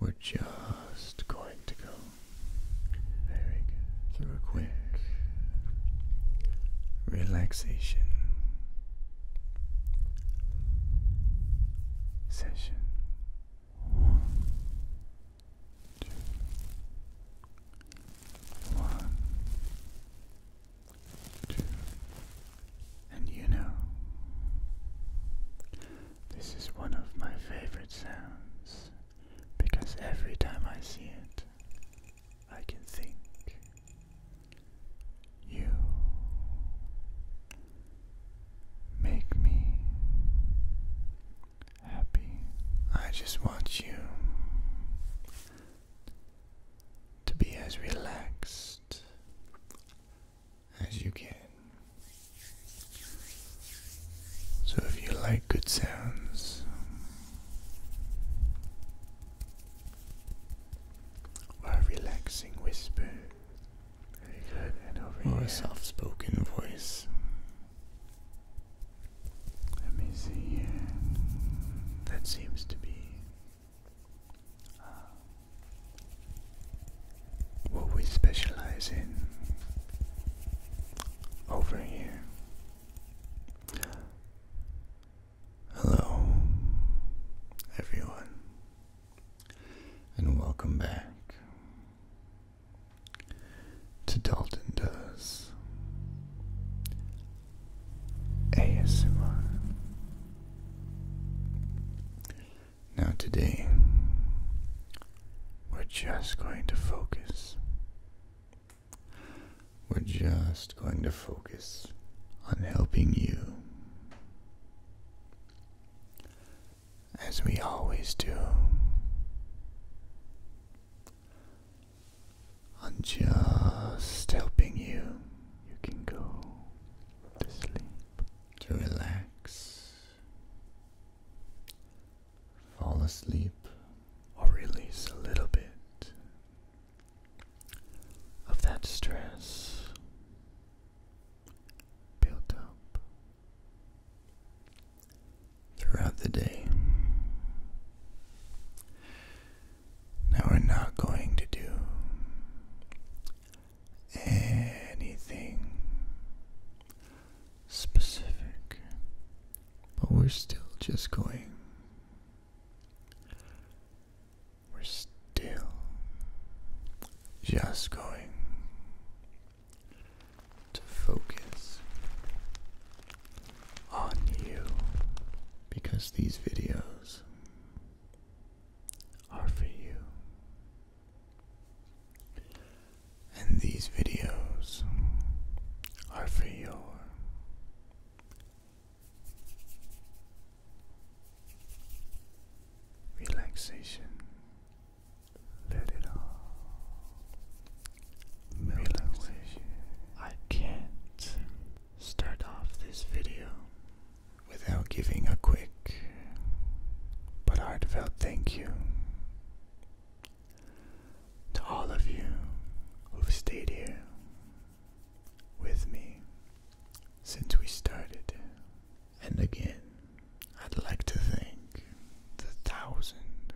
We're just going to go through a quick relaxation session. One, two, one, two, and you know this is one of my favorite sounds because every time I see it, I can think you make me happy. I just want you to be as relaxed as you can. So, if you like good sounds, or a relaxing whisper, or here. a soft spoken voice, let me see. That seems to be. Uh, what we specialize in over here. Hello, everyone, and welcome back to Dalton Does ASMR. Now, today, we're just going to focus. We're just going to focus on helping you. As we always do, on just helping you, you can go to sleep to relax, fall asleep, or release a little bit of that stress built up throughout the day. Now, we're not going to do anything specific, but we're still just going. We're still just going to focus on you because these videos are for you. And these videos are for your relaxation. Let it all melt I can't start off this video without giving a quick but heartfelt thank you to all of you who've stayed here with me since we started. And again, I'd like to thank the thousand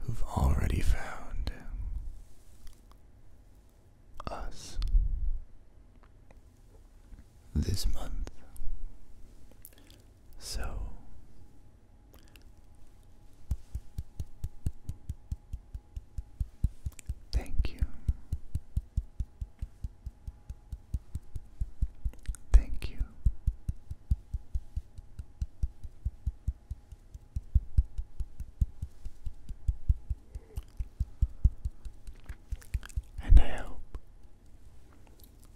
who've already found us this month. So thank you. Thank you. And I hope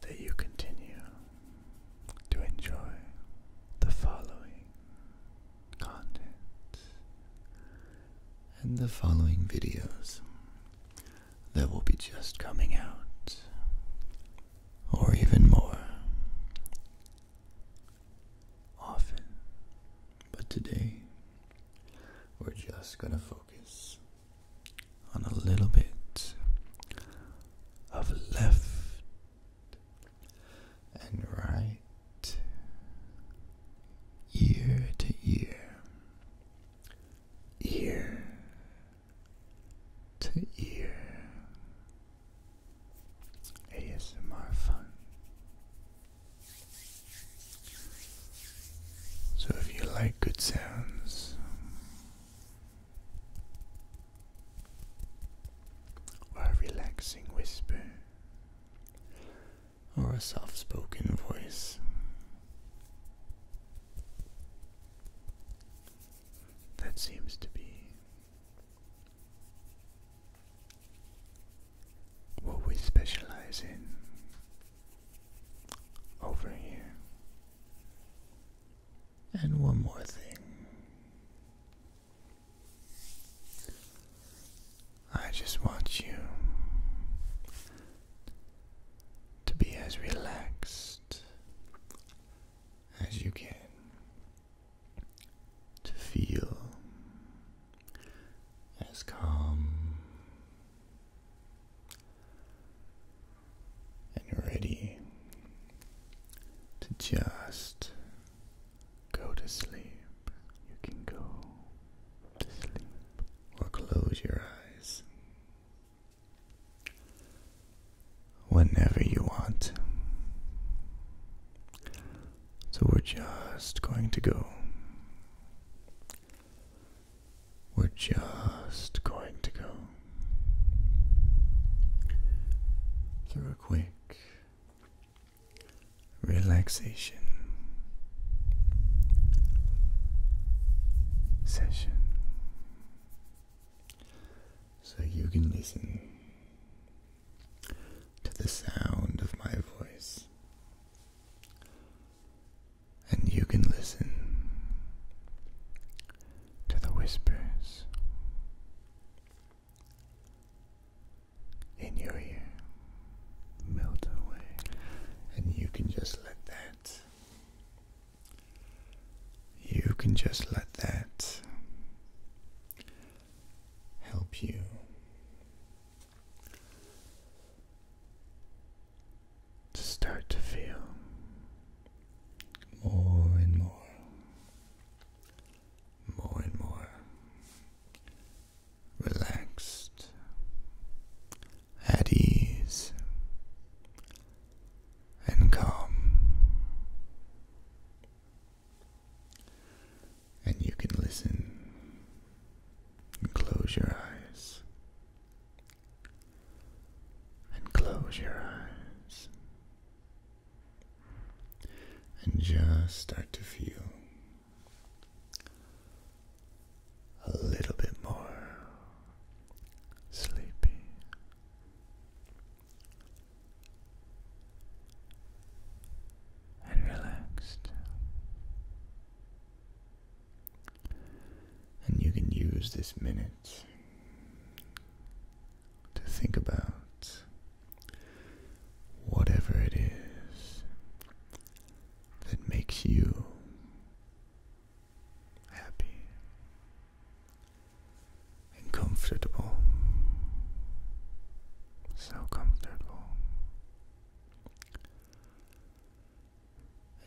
that you continue to enjoy the following content and the following videos that will be just coming out, or even more often. But today, we're just going to focus on a little bit of left and right ear to ear, ear to ear. ASMR fun. So if you like good sounds, or a relaxing whisper, or a soft spoken voice, that seems to be what we specialize in over here. And one more thing. I just want you to be as relaxed as you can, to feel as calm and you're ready to just go to sleep. You can go to sleep or close your eyes whenever you want. So we're just going to go we're just going to go through a quick relaxation session so you can listen to the sound of my voice and you can listen to the whispers in your ear melt away, and you can just let that. You can just let that help you to start to feel more and more, more and more relaxed, at ease, and calm. And you can listen and close your eyes and close your eyes. And just start to feel a little bit more sleepy. And relaxed. And you can use this minute to think about whatever it is that makes you happy comfortable. So comfortable.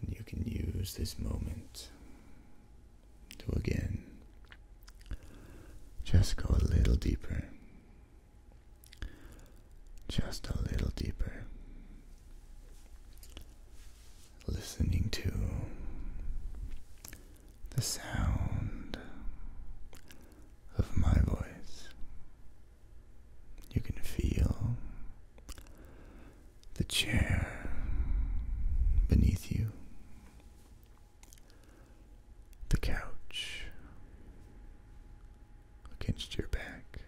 And you can use this moment to again just go a little deeper. Just a little deeper. Listening to the sound of my voice you can feel the chair beneath you, the couch against your back,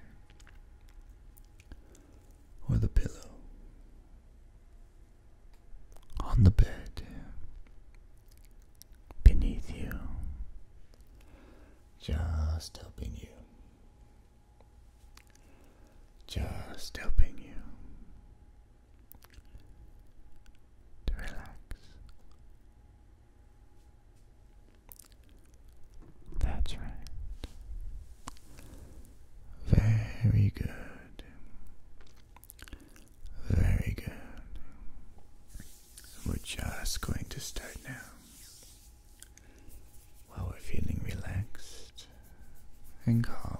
or the pillow on the bed beneath you, just helping you just helping you to relax. That's right. Very good. Very good. We're just going to start now while we're feeling relaxed and calm.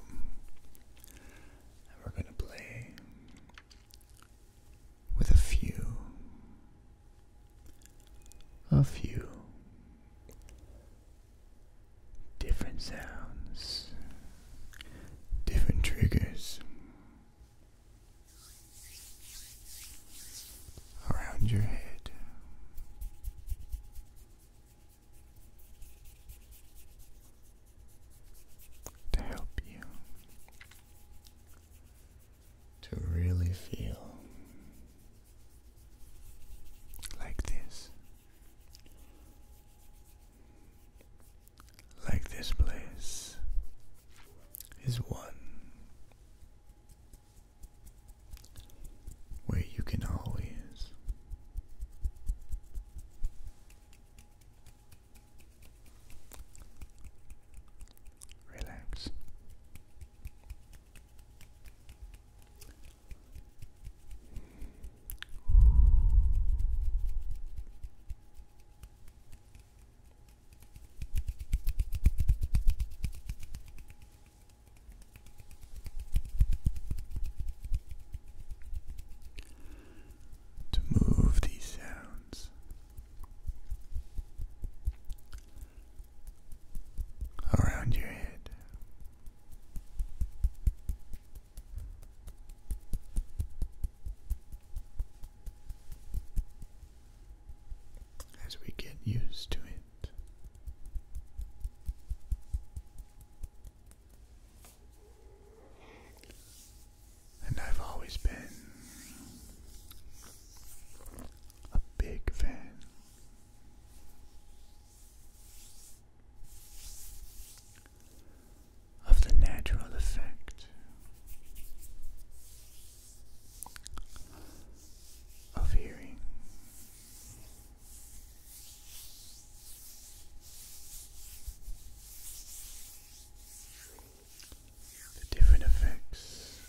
And we're going to play with a few, a few different sounds, different triggers around your head. To help you to really feel like this, like this place is one where you can always relax to move these sounds around your head as we get used to it. And I've always been a big fan of the natural effect of hearing. The different effects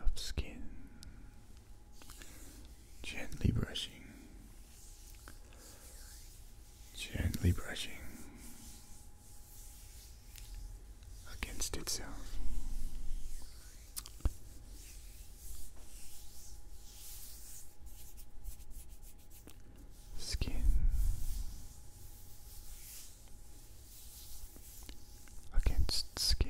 of skin gently brushing gently brushing against itself. Skin against skin.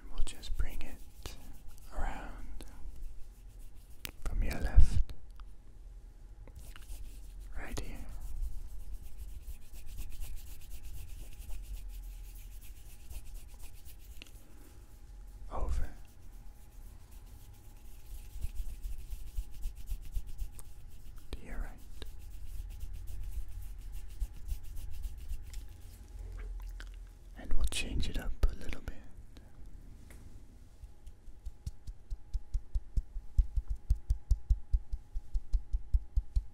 And we'll just bring it around from your left, right here over to right. And we'll change it up a little bit.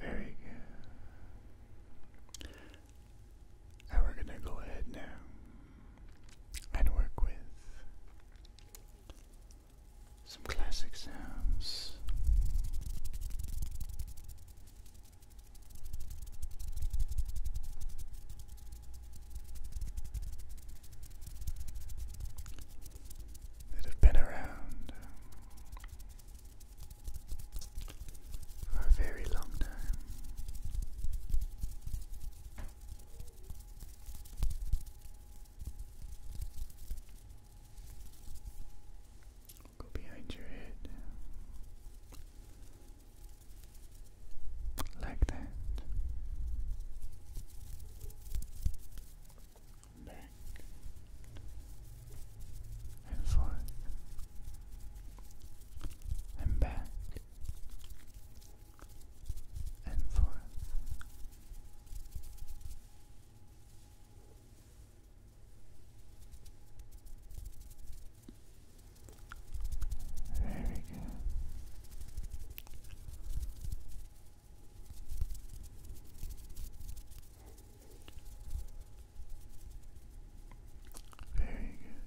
Very good. And we're going to go ahead now and work with some classic sounds that have been around um, for a very long time. Go behind your head um, like that back and forth and back and forth. Very good. Very good.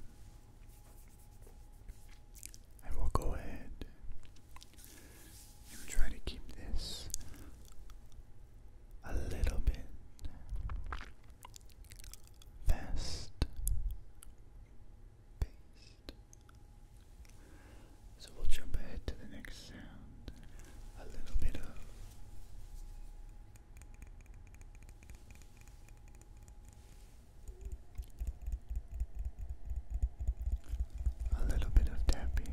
I will go ahead and try to keep this a little bit fast paced. So we'll jump ahead to the next sound. A little bit of a little bit of tapping.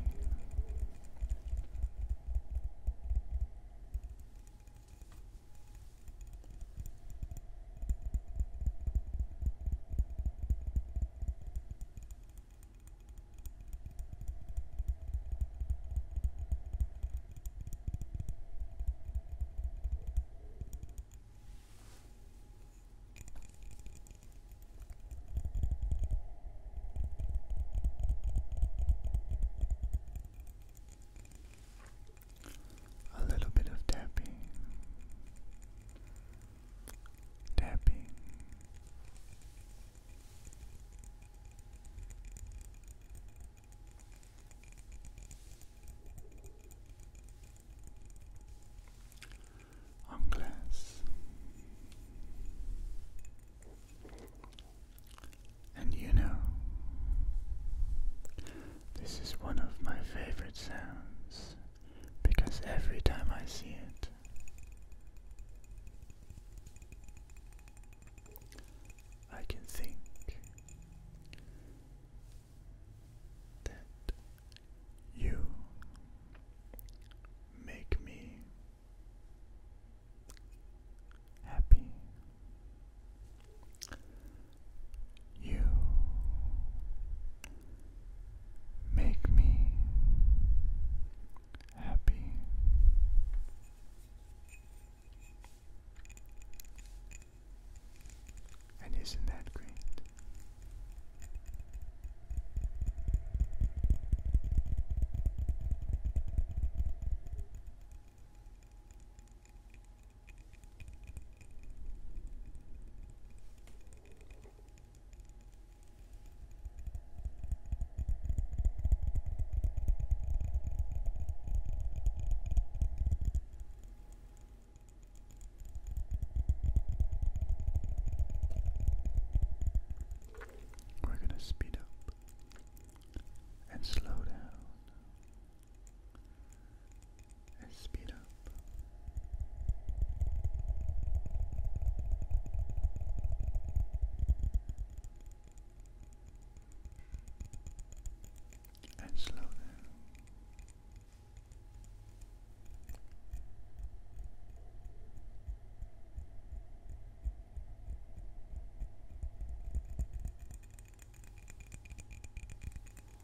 A little bit of tapping tapping. On glass, and you know, this is one of my favorite sounds because every time I see it, I can think that you make me happy. You make me happy. And isn't that great? We're going to speed up and slow down I speed up. And slow down.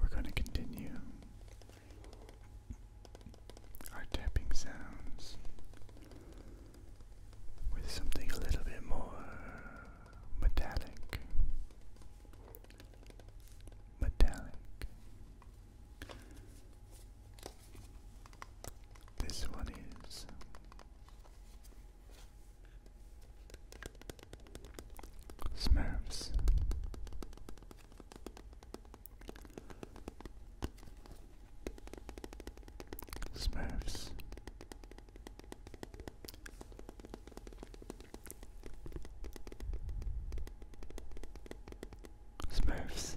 We're going to continue our tapping sounds with something a little bit more metallic. Metallic. This one is Smurfs. Smurfs. Smurfs.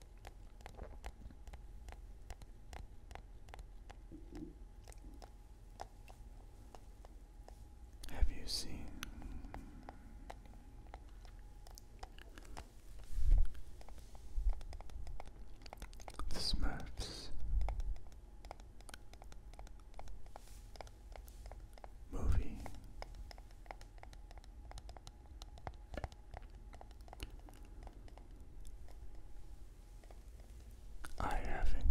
Have you seen the Smurfs movie? I haven't.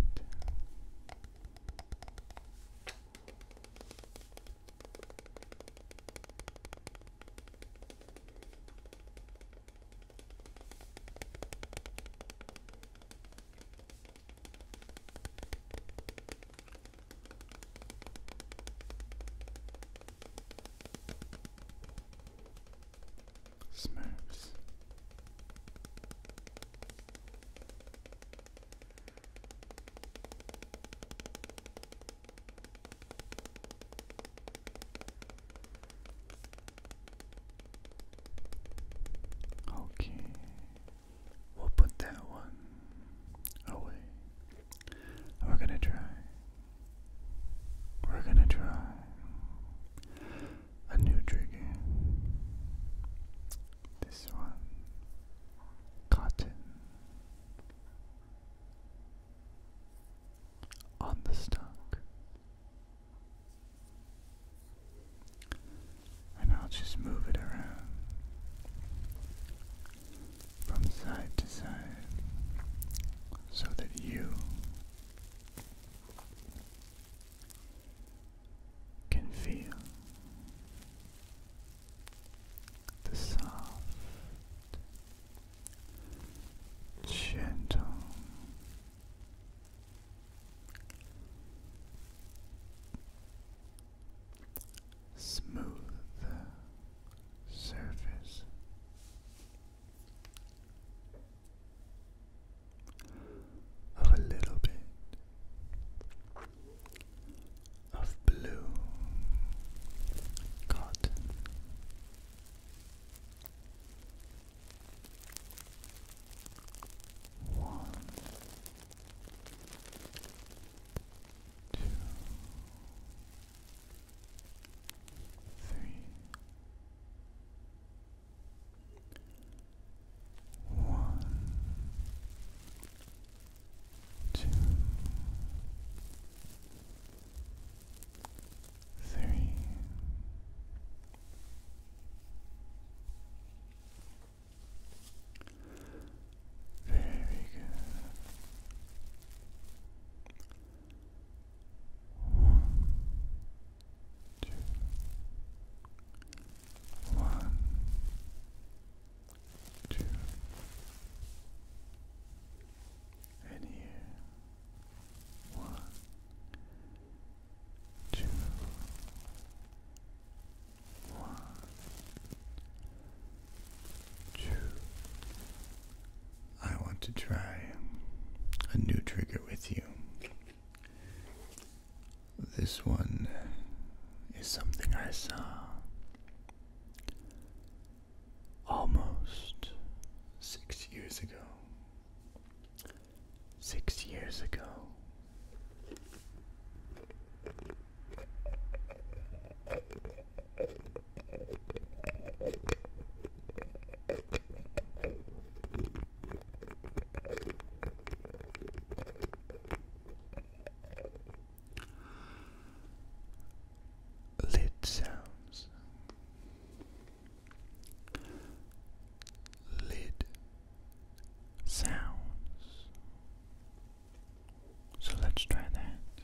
Smurfs. Okay, we'll put that one away. we're gonna try we're going to try a new trigger. This one cotton on the stock. And I'll just move it around from side to side so that you can feel the soft, gentle smooth surface of a little bit of blue cotton. One, two, three, one, two, three. Very good. One, two, one, two, and here, one, two, one, two, I want to try a new trigger with you. This one is something I saw almost six years ago. Six years ago. Lid sounds. Lid sounds. So let's try that.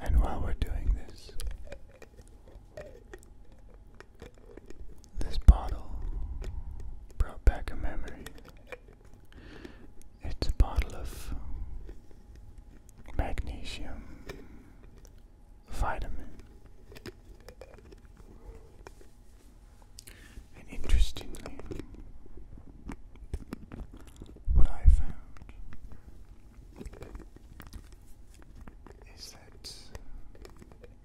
And while we're doing this, this bottle brought back a memory. It's a bottle of magnesium vitamin. And interestingly, what I found is that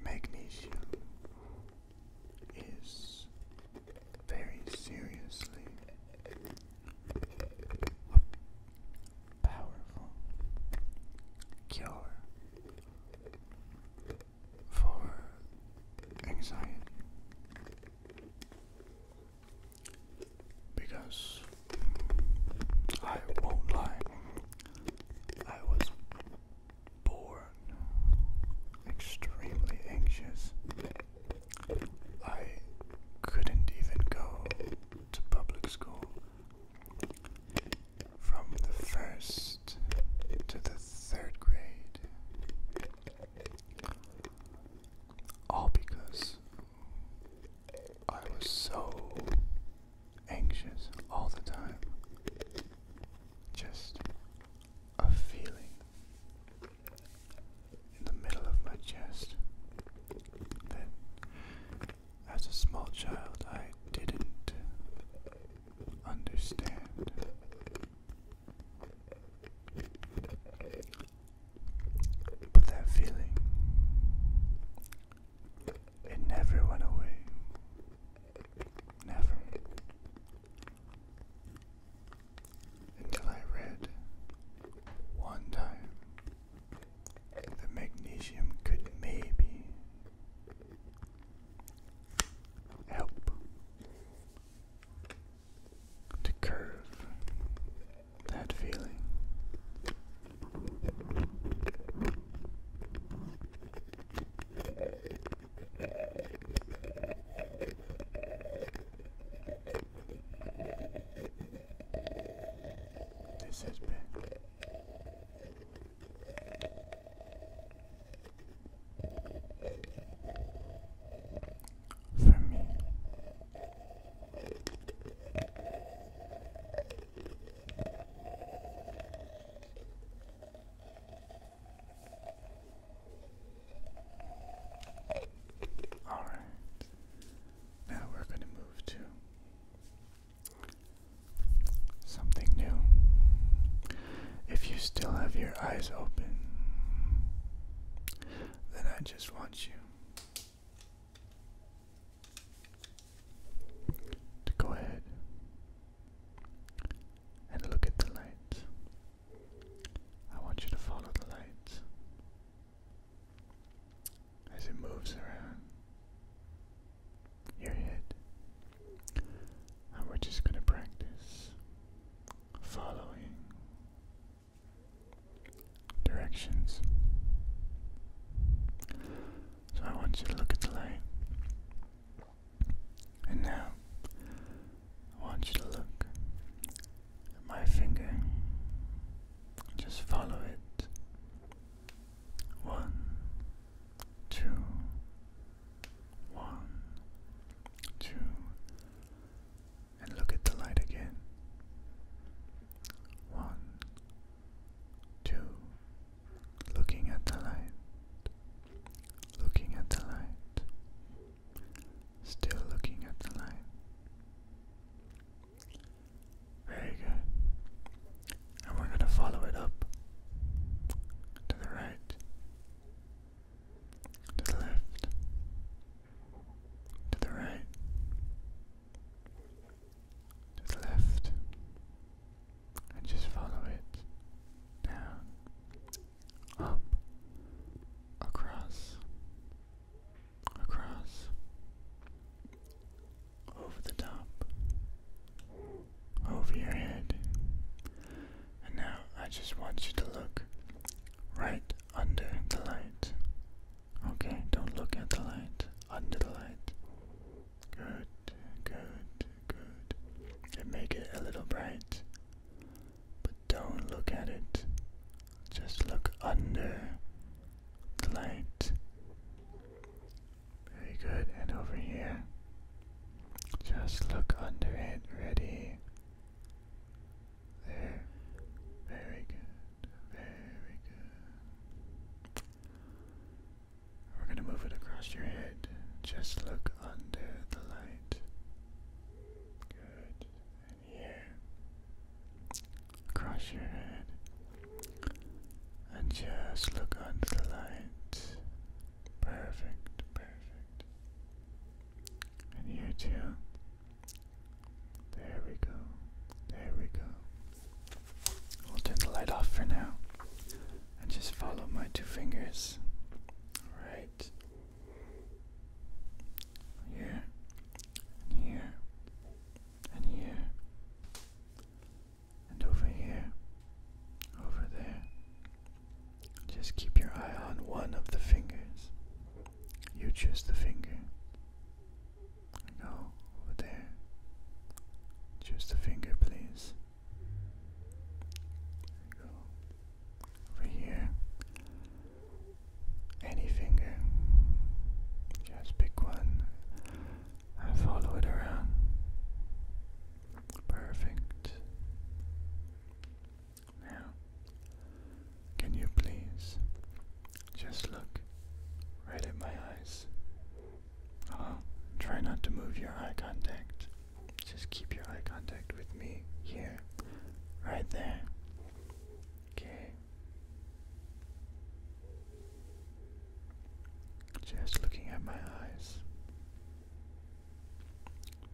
magnesium is very seriously a powerful cure for anxiety because I won't lie, I was born extremely anxious. I couldn't even go to public school from the first to the third grade. All because I was so anxious all the time. Just a feeling in the middle of my chest that as a small child I didn't understand. But that feeling, it never went away. Never. Until I read one time that magnesium could maybe help to curve that feeling. This has been for me. All right. Now we're going to move to something new. If you still have your eyes open, then I just want you to go ahead and look at the light. I want you to follow the light as it moves around your head. And we're just going to practice following directions. So I want you to look at the light. And now, I want you to look at my finger. Just follow it. One, two, one, two, and look at the light again. One, two, looking at the light, looking at the light, still looking at the light. Very good and we're going to follow it up to the right, to the left, to the right, to the left, and just follow it down, up, across, across, over the top, over your head. And now I just want you to look right under the light. Okay, don't look at the light. Under the light. Good, good, good. And make it a little bright. But don't look at it. Just look under the light. Very good, and over here. Just look under it, ready. There. Very good, very good. We're going to move it across your head. Just look under the light. Good, and here. Across your head. And just look under the light. Perfect, perfect. And you too. There we go. There we go. we will turn the light off for now. And just follow my two fingers. Right. Here. here. And here and over here, over there. Just keep your eye on one of the fingers. You choose the finger. Go over there. Choose the finger, please. Go over here. Any finger. Just pick one and follow it around. Perfect. Now, can you please just look right at my eyes? Uh -huh. Try not to move your eye contact. Just keep your eye contact with me here, right there. Okay. Just looking at my eyes.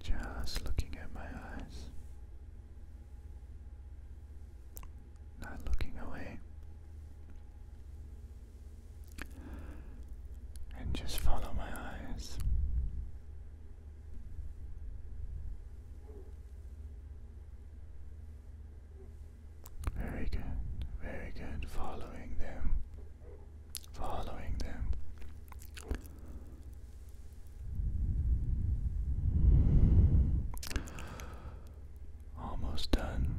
Just looking at my eyes. Not looking away. And just follow my eyes. Very good, very good. Following them following them. Almost done.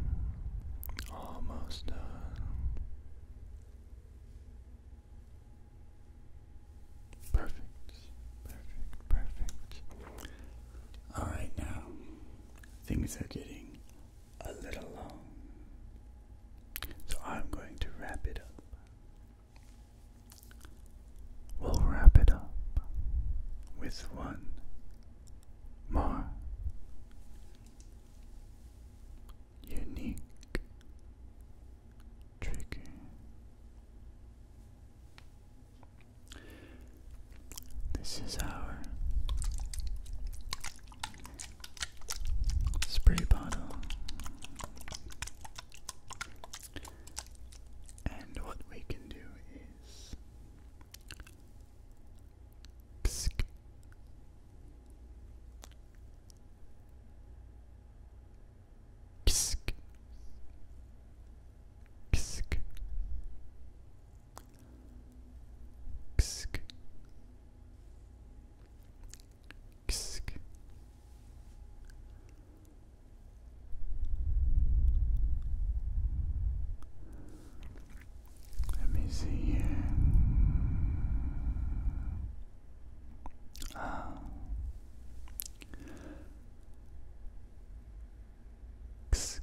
Almost done. Perfect. Perfect. Perfect. All right now. Things are getting a little long. So I'm going to wrap it up. We'll wrap it up with one more unique trigger. This is our spray bottle. And what we can do is psk. Psk. Psk. Ksk. Ksk. Let me see here. Ah. Ksk.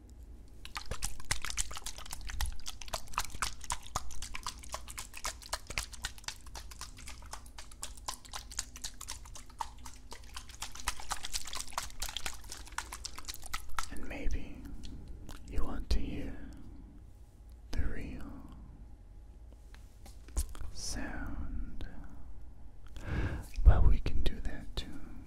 And maybe you want to hear the real sound. Well, we can do that too.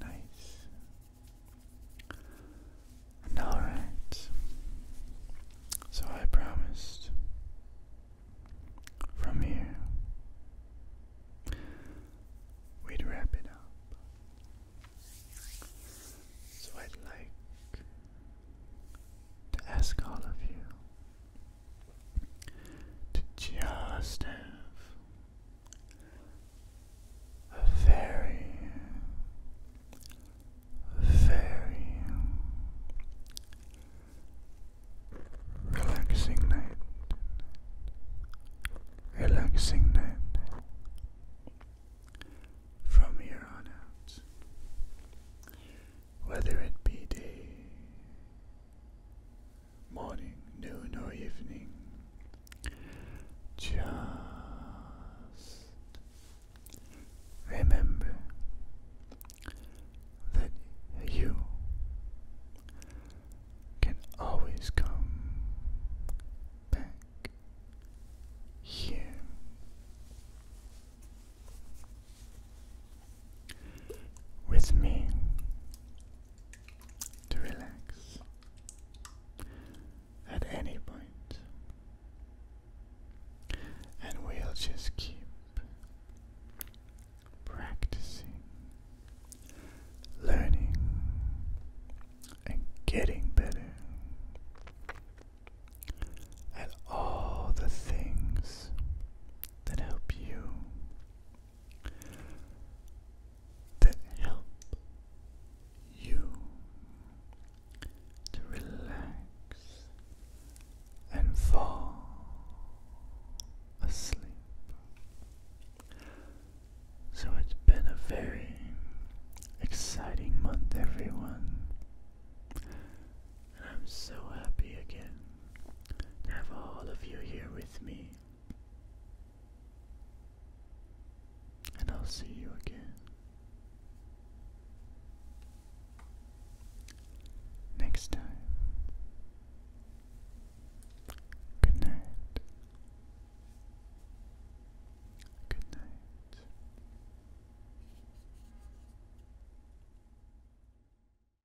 Nice. alright. So I promised from here we'd wrap it up. So I'd like to ask all of you to just have a very, very relaxing night. Relaxing night from here on out, whether it be day morning, noon, or evening. Just remember that you can always come back here with me to relax at any point, and we'll just keep practicing, learning, and getting better at all the things that help you that help you to relax and fall asleep. So it's been a very exciting month, everyone. And I'm so happy again have all of you here with me. And I'll see you again next time. Good night. Good night.